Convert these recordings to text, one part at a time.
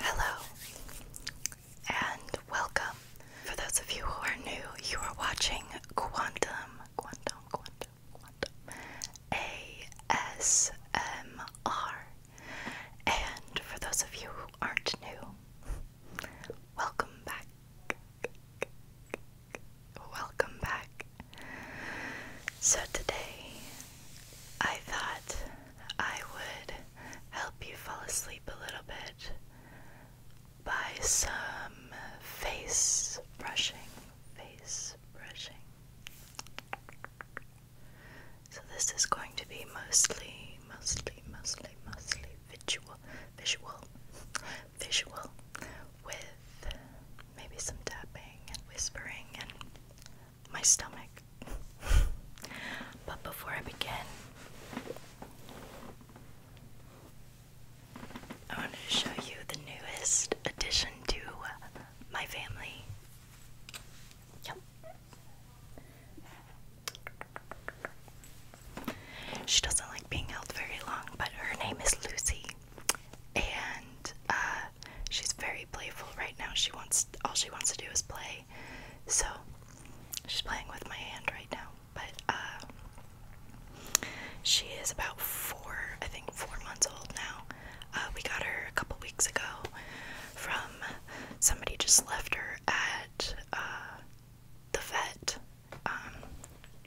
Hello and welcome. For those of you who are new, you are watching Quantum, Quantum, Quantum, Quantum ASMR. And for those of you who aren't new, welcome back welcome back. So, today I thought I would help you fall asleep a little bit by some face brushing. Face brushing. So, this is going to be mostly, mostly, mostly, mostly visual, visual, visual with maybe some tapping and whispering and my stomach. but before I begin, I wanted to show you the newest addition to my family. Yep. She doesn't like being held very long, but her name is Lucy and uh, she's very playful right now. She wants all she wants to do is play, so she's playing with my hand right now. But uh, she is about four, I think, four months old now. Uh, we got her a couple weeks ago from somebody just left her at uh, the vet. Um,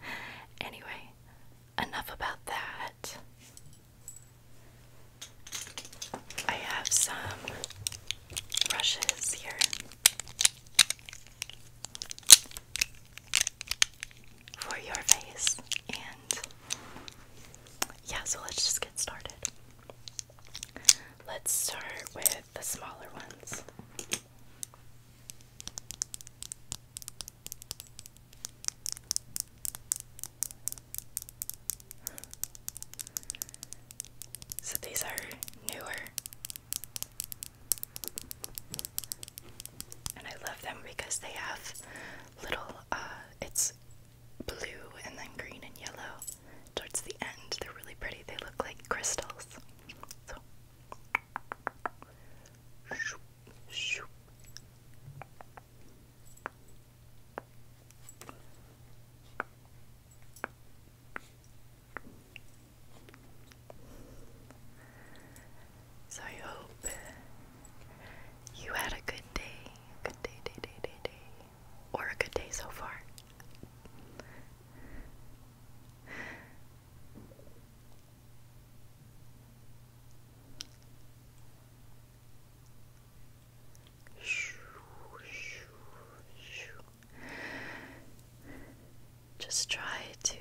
anyway, enough about that. I have some brushes here. For your face, and yeah, so let's just get started. Let's start with the smaller ones. So these are newer. And I love them because they have little, uh, it's blue and then green and yellow towards the end. They're really pretty. They look like crystals. So Shoop, shoop. So I hope you had a good day, good day, day, day, day, day, or a good day so far. Just try to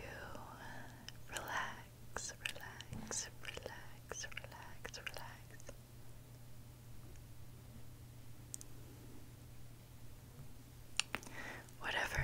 relax, relax, relax, relax, relax. Whatever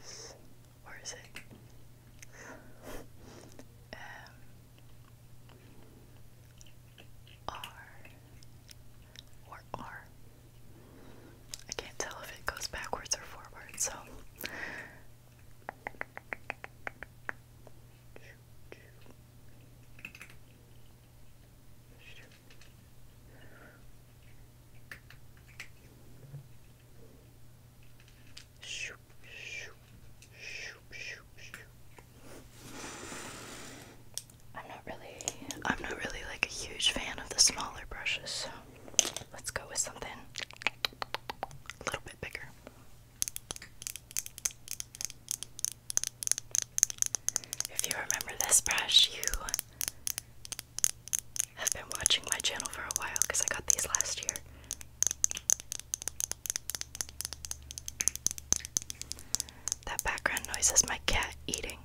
S where is it? M R or R. I can't tell if it goes backwards or forward, so I'm not really I'm not really like a huge fan of the smaller brushes, so let's go with something a little bit bigger. If you remember this brush, you have been watching my channel for a while because I got these last year. That background noise is my cat eating.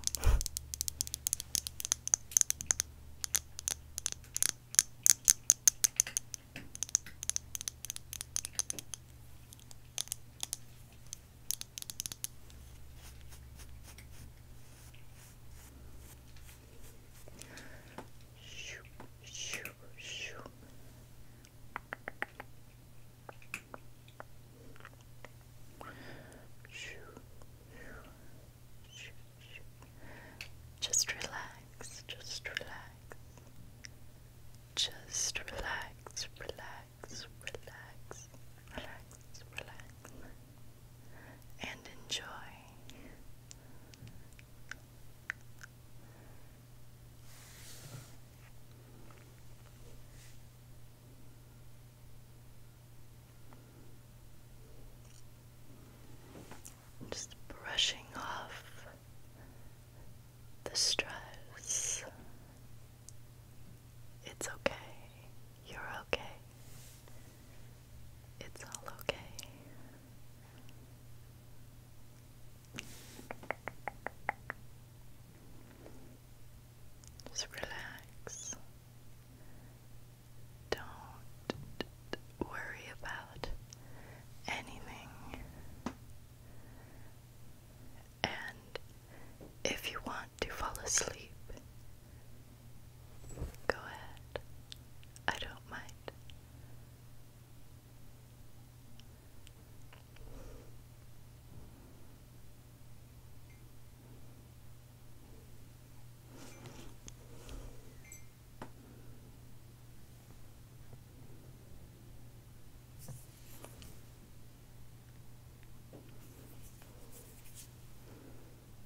Shoo, shoo, shoo. Shoo, shoo, shoo. Just relax, just relax. Just relax, relax, relax, relax, relax and enjoy. Just brushing off the stress. It's okay. You're okay. It's all okay. Just relax. Don't worry about anything. And if you want to fall asleep, Go ahead. I don't mind.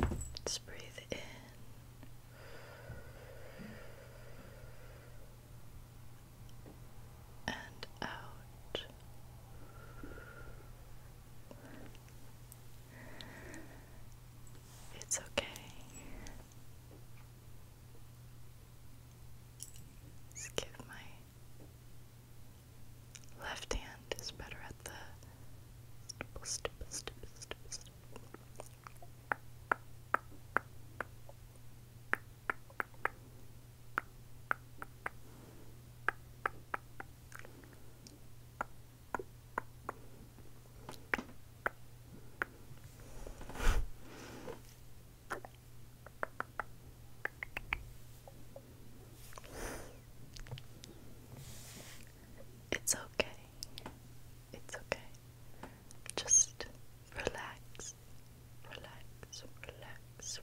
Let's breathe in. And out. It's okay. Just give my Left hand is better at the it's okay. It's okay. Just relax. Relax, relax, relax.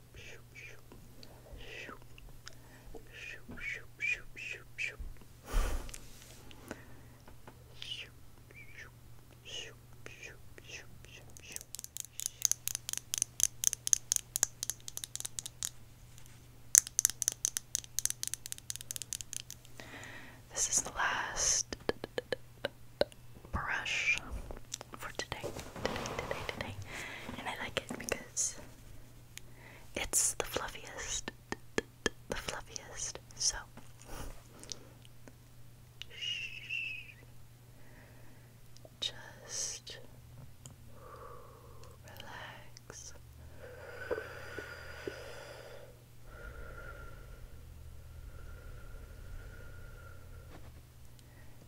This is the last brush for today, today, today, today. And I like it because it's the fluffiest, the fluffiest. So, just relax.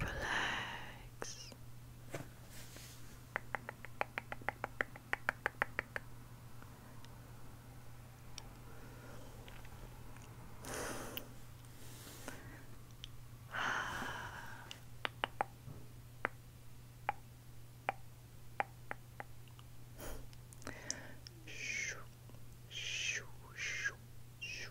relax. shoo, shoo, shoo, shoo,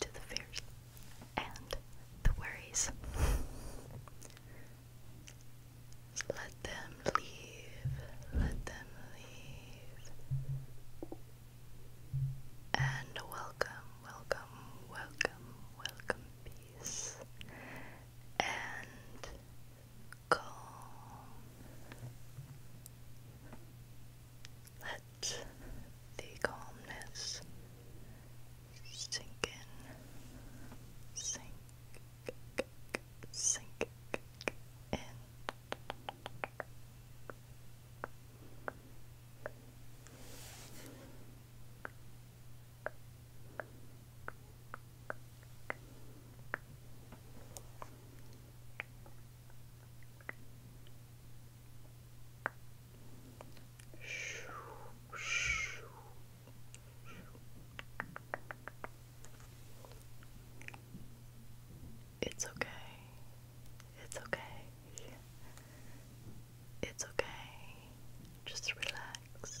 to the fears and the worries. Let them leave, let them leave. And welcome, welcome, welcome, welcome, peace. And calm. Let the calmness sink in, sink, sink in. It's okay. It's okay. It's okay. Just relax.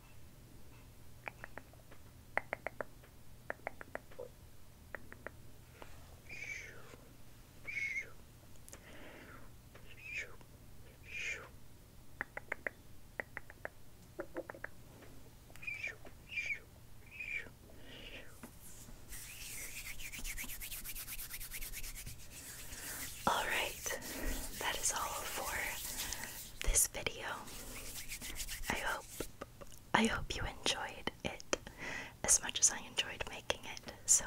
All right, that is all for this video. I hope I hope you enjoyed it as much as I enjoyed making it. So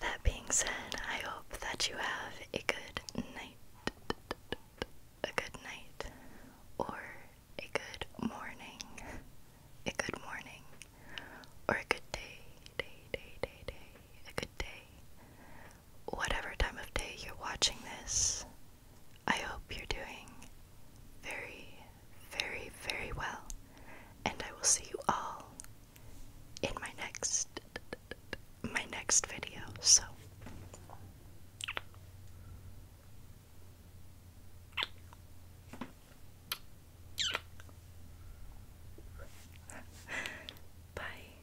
that being said, I hope that you have a good night, a good night, or a good morning, a good morning, or a good day, day, day, day, day, a good day, whatever time of day you're watching this, I hope you're doing very, very, very well. And I will see you all in my next my next video. So Bye.